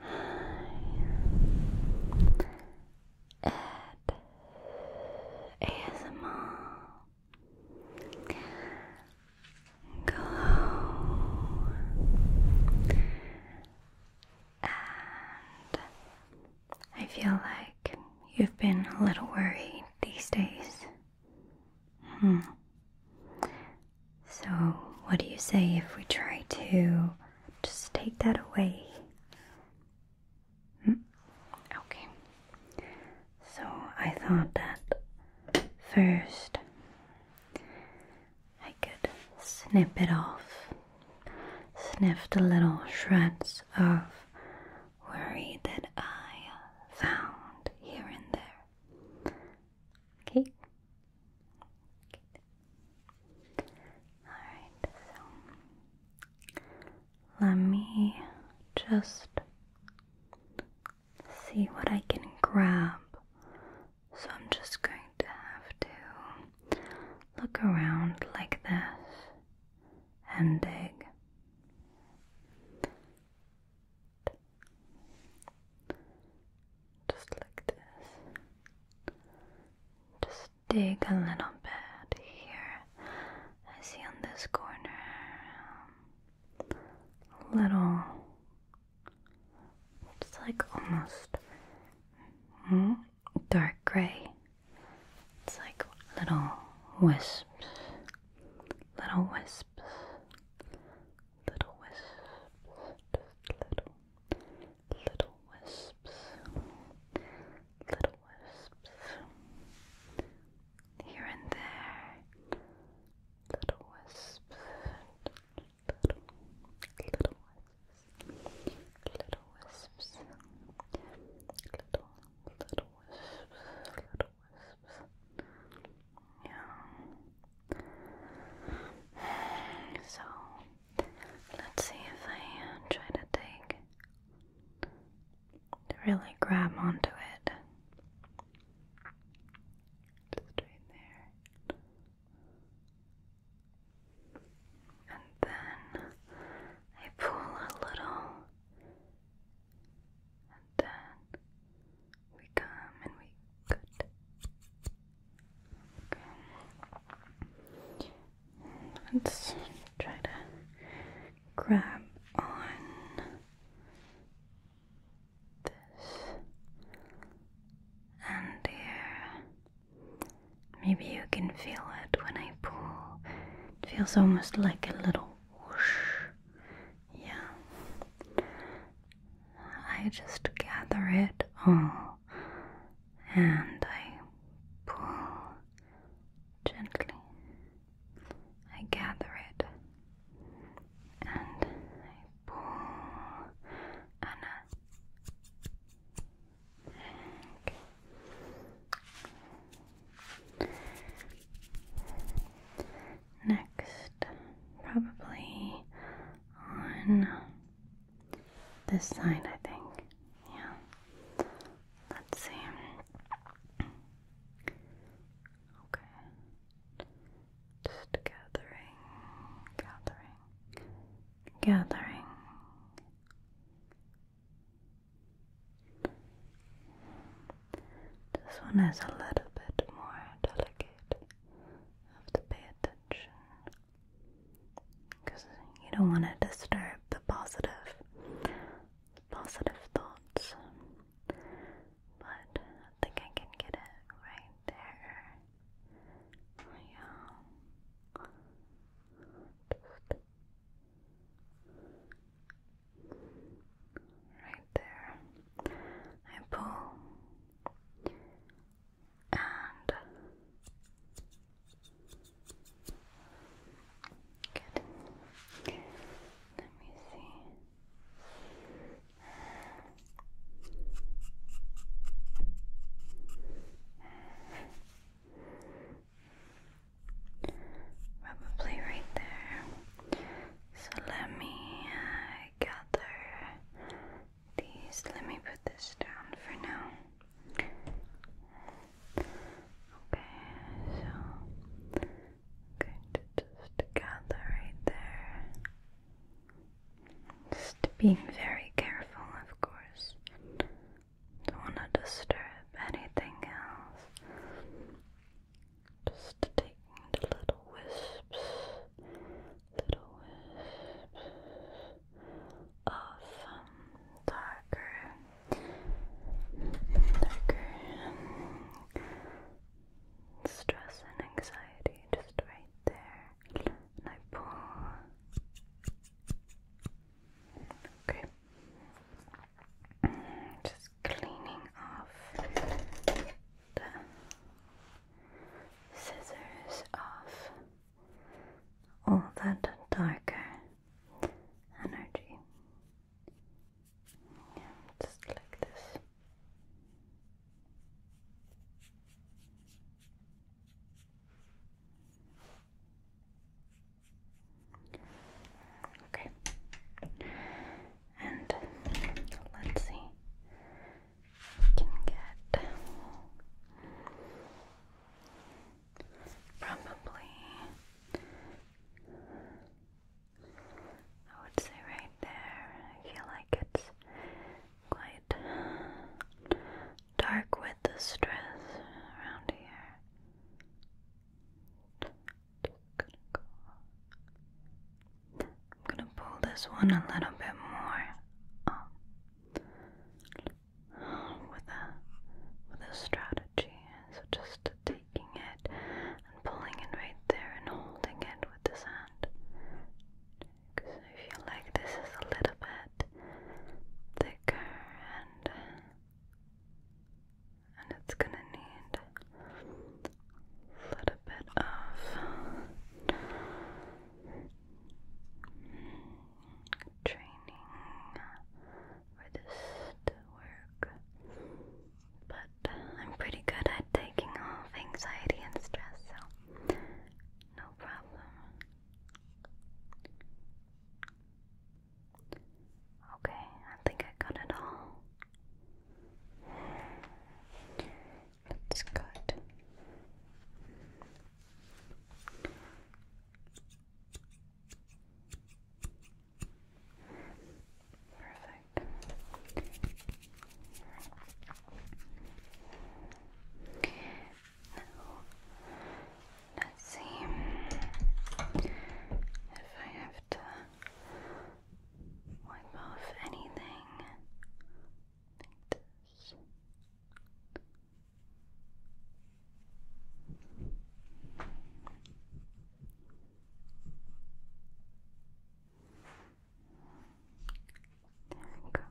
Hi, ASMR Glow and I feel like you've been a little worried these days Hmm. So, what do you say if we try to just take that away? Hmm. Okay. So, I thought that first I could snip it off, sniff the little shreds of worry that I found here and there. Okay. Alright, so let me just see what I can grab. So I'm just going to have to look around like this and dig. Just like this. Just dig a little bit here. I see on this corner um, little. It's like almost hmm, dark gray. It's like little wisps. Little wisps little wisps, little, little wisps, little wisps, here and there, little wisps, little, little wisps, little wisps, little, little wisps, little wisps. Yeah. So let's see if I uh, try to take really grab onto it. Just there. And then I pull a little and then we come and we cut. Okay. Let's try to grab on this and here. Maybe you can feel it when I pull. It feels almost like a little whoosh yeah. I just gather it all and I pull gently. I gather it and I pull and next, probably on this side, I think. Yeah. Let's see. Okay. Just gathering, gathering, gathering. This one is a little bit more delicate. You have to pay attention because you don't want to disturb the positive, positive thoughts. But I think I can get it right there. Oh, yeah right there. I pull and Let me see. Probably right there. So let me uh, gather these. Let me put this down for now. Okay, so I'm going to just gather right there. Just being very careful, of course. Don't want to disturb anything else. Just taking the little wisps, little wisps of um, darker, darker um, stress and anxiety just right there. And I pull. Okay. Just cleaning off the scissors off all that darker energy. just like this. Okay. And let's see. can get probably I would say right there. I feel like it's quite dark with the stress around here. I'm gonna pull this one a little bit more with a with a strategy. So just taking it and pulling it right there and holding it with this hand. Because I feel like this is a little bit thicker and and it's gonna need a little bit of training for this to work. But I'm pretty good at taking off anxiety and stress, so no problem. Okay, I think I got it all. That's good. Perfect see if I have to wipe off anything There we go. Just a delicate.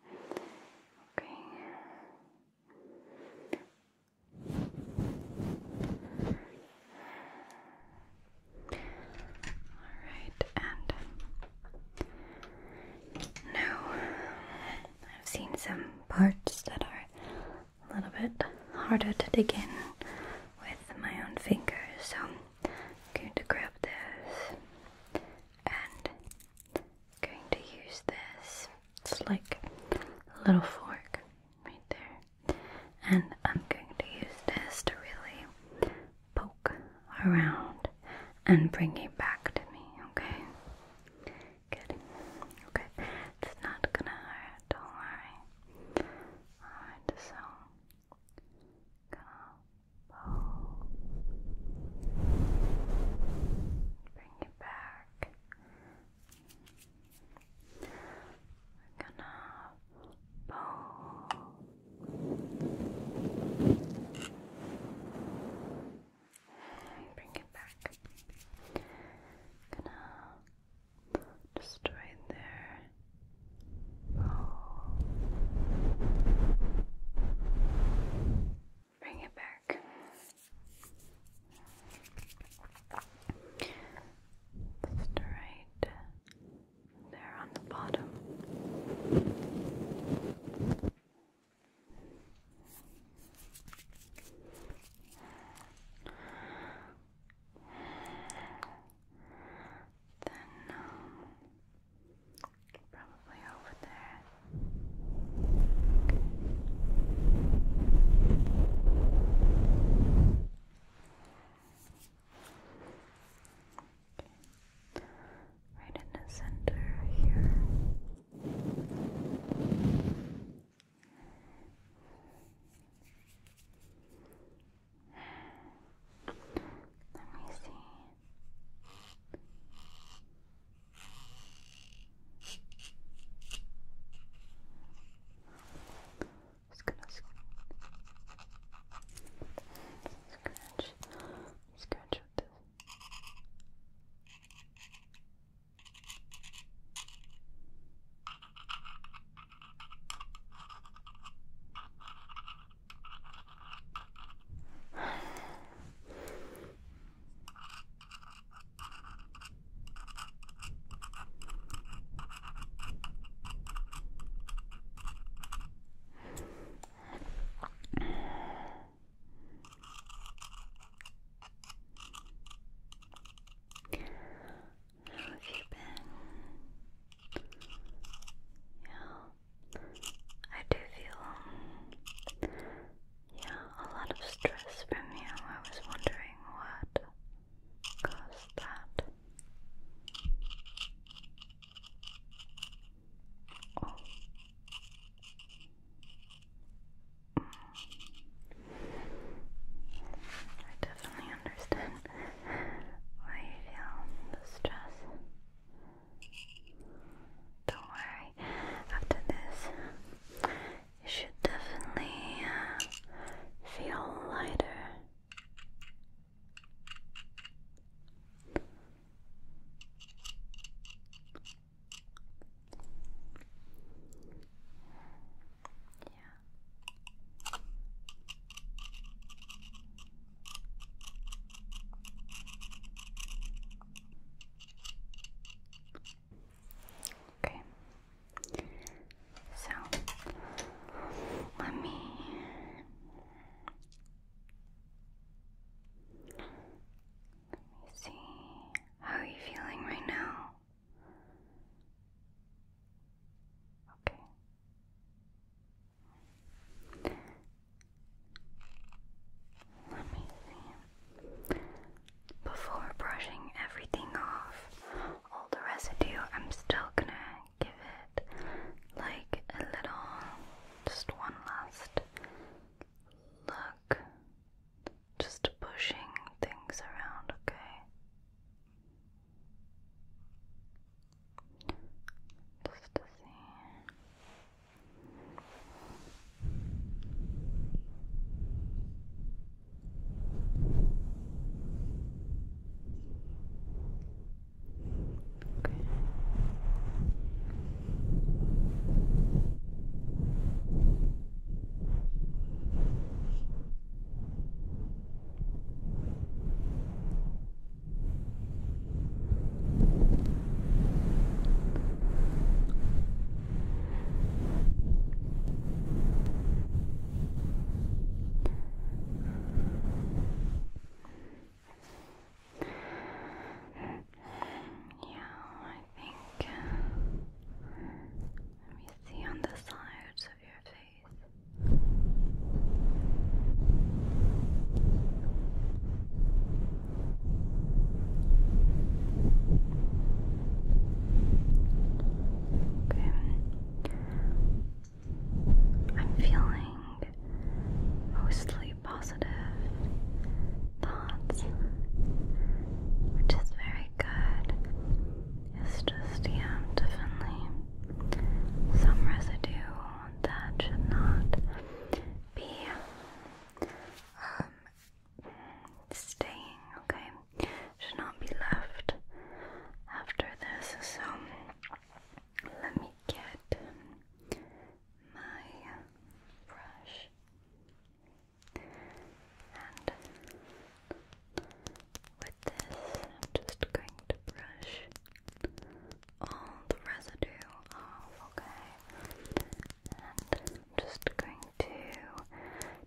Okay. All right, and now I've seen some parts that are a little bit harder to dig in with my own fingers, so I'm going to grab this and I'm going to use this. It's like a little fork right there. And I'm going to use this to really poke around and bring it back to me, okay? Good. Okay. It's not gonna hurt, don't worry. Alright, so gonna Oh, bring it back. gonna pull, bring it back. Gonna just right there. Bring it back. Just there on the bottom. Then um, Probably over there. Okay. Right in the center here. Let me see. Just gonna sc scratch, scratch with this. How have you been? Yeah. I do feel, um, yeah, a lot of stress from you. I was wondering what caused that. Oh. I definitely understand why you feel the stress. Don't worry, after this, you should definitely uh, feel lighter. Yeah. Okay. So let me let me see. How are you feeling right now? Okay. Let me see. Before brushing everything off, all the residue, I'm still gonna give it like a little, just one last look. Just pushing things around, okay? Just to see. Okay. Yeah, I think. Uh, let me see on the sides of your face. Okay. I'm feeling mostly positive thoughts, which is very good. It's just, yeah, definitely some residue that should not be um, staying, okay? Should not be left after this. So let me get my brush with this, I'm just going to brush all the residue off, okay? And just going to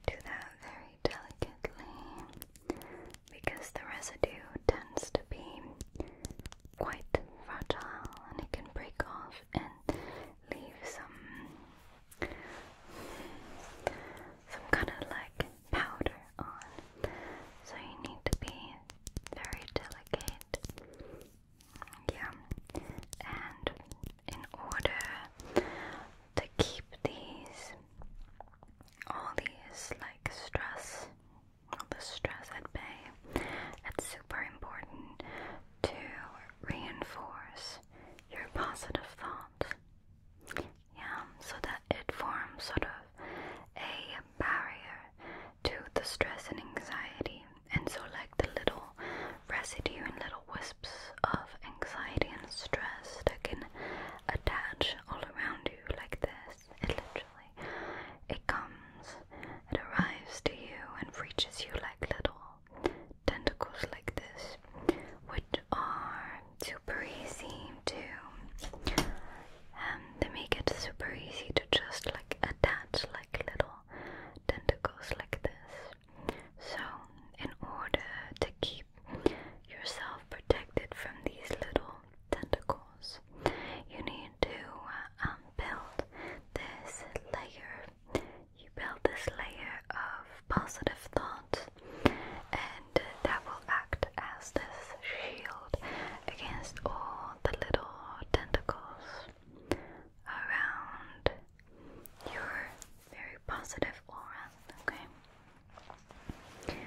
do that very delicately because the residue tends to be quite fragile and it can break off and leave some some kind of like powder on. So you need to be very delicate. Yeah. And in order to keep these all these like stress all the stress at bay, it's super important to reinforce your positive thoughts yeah, so that it forms sort of a barrier to the stress and anxiety. And so, like the little residue and little wisps of anxiety and stress that can attach all around you, like this, it literally it comes, it arrives to you and reaches you like little tentacles like this, which are super easy to um they make it super easy to just like attach like little tentacles like this. So in order to keep yourself protected from these little tentacles, you need to uh, um, build this layer. You build this layer of positive thoughts and that will act as this shield against all the little tentacles around your very positive aura. Okay,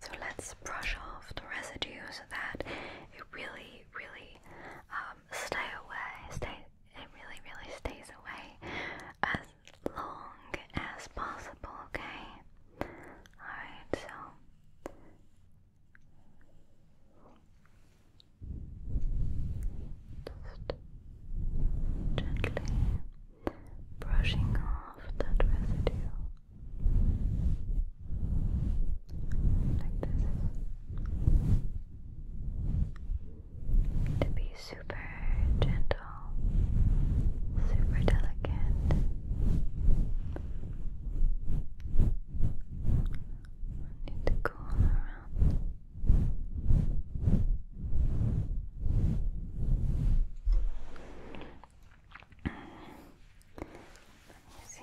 So let's brush off the residue so that it really, really um, stay away, stay. It really, really stays away long as possible, okay? Alright, so. Just gently brushing off that residue like this to be super gentle gentle, super delicate. Need to go around. Let me see.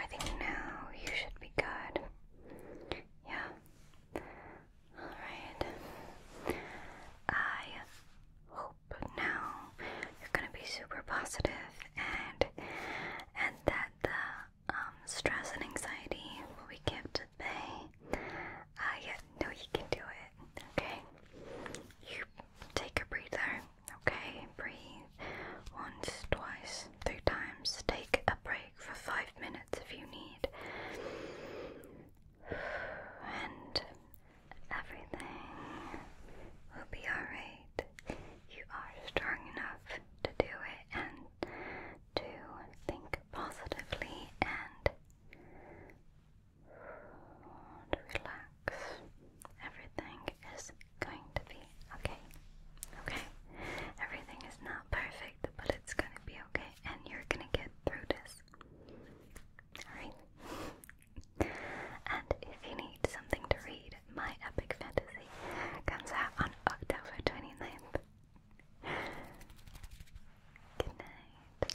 I think now you should be good. Yeah. Alright. I hope now you're gonna be super positive and and that the um, stress and anxiety will be kept at bay. Uh, yeah, you can do it. Okay. You take a breather. Okay, breathe once, twice, three times. Take a break for five minutes if you need. And everything will be alright. You are strong enough to do it and to think positively and and relax. Everything is going to be okay. Okay? Everything is not perfect, but it's going to be okay, and you're going to get through this. Alright? and if you need something to read, My Epic Fantasy comes out on October 29th. Good night.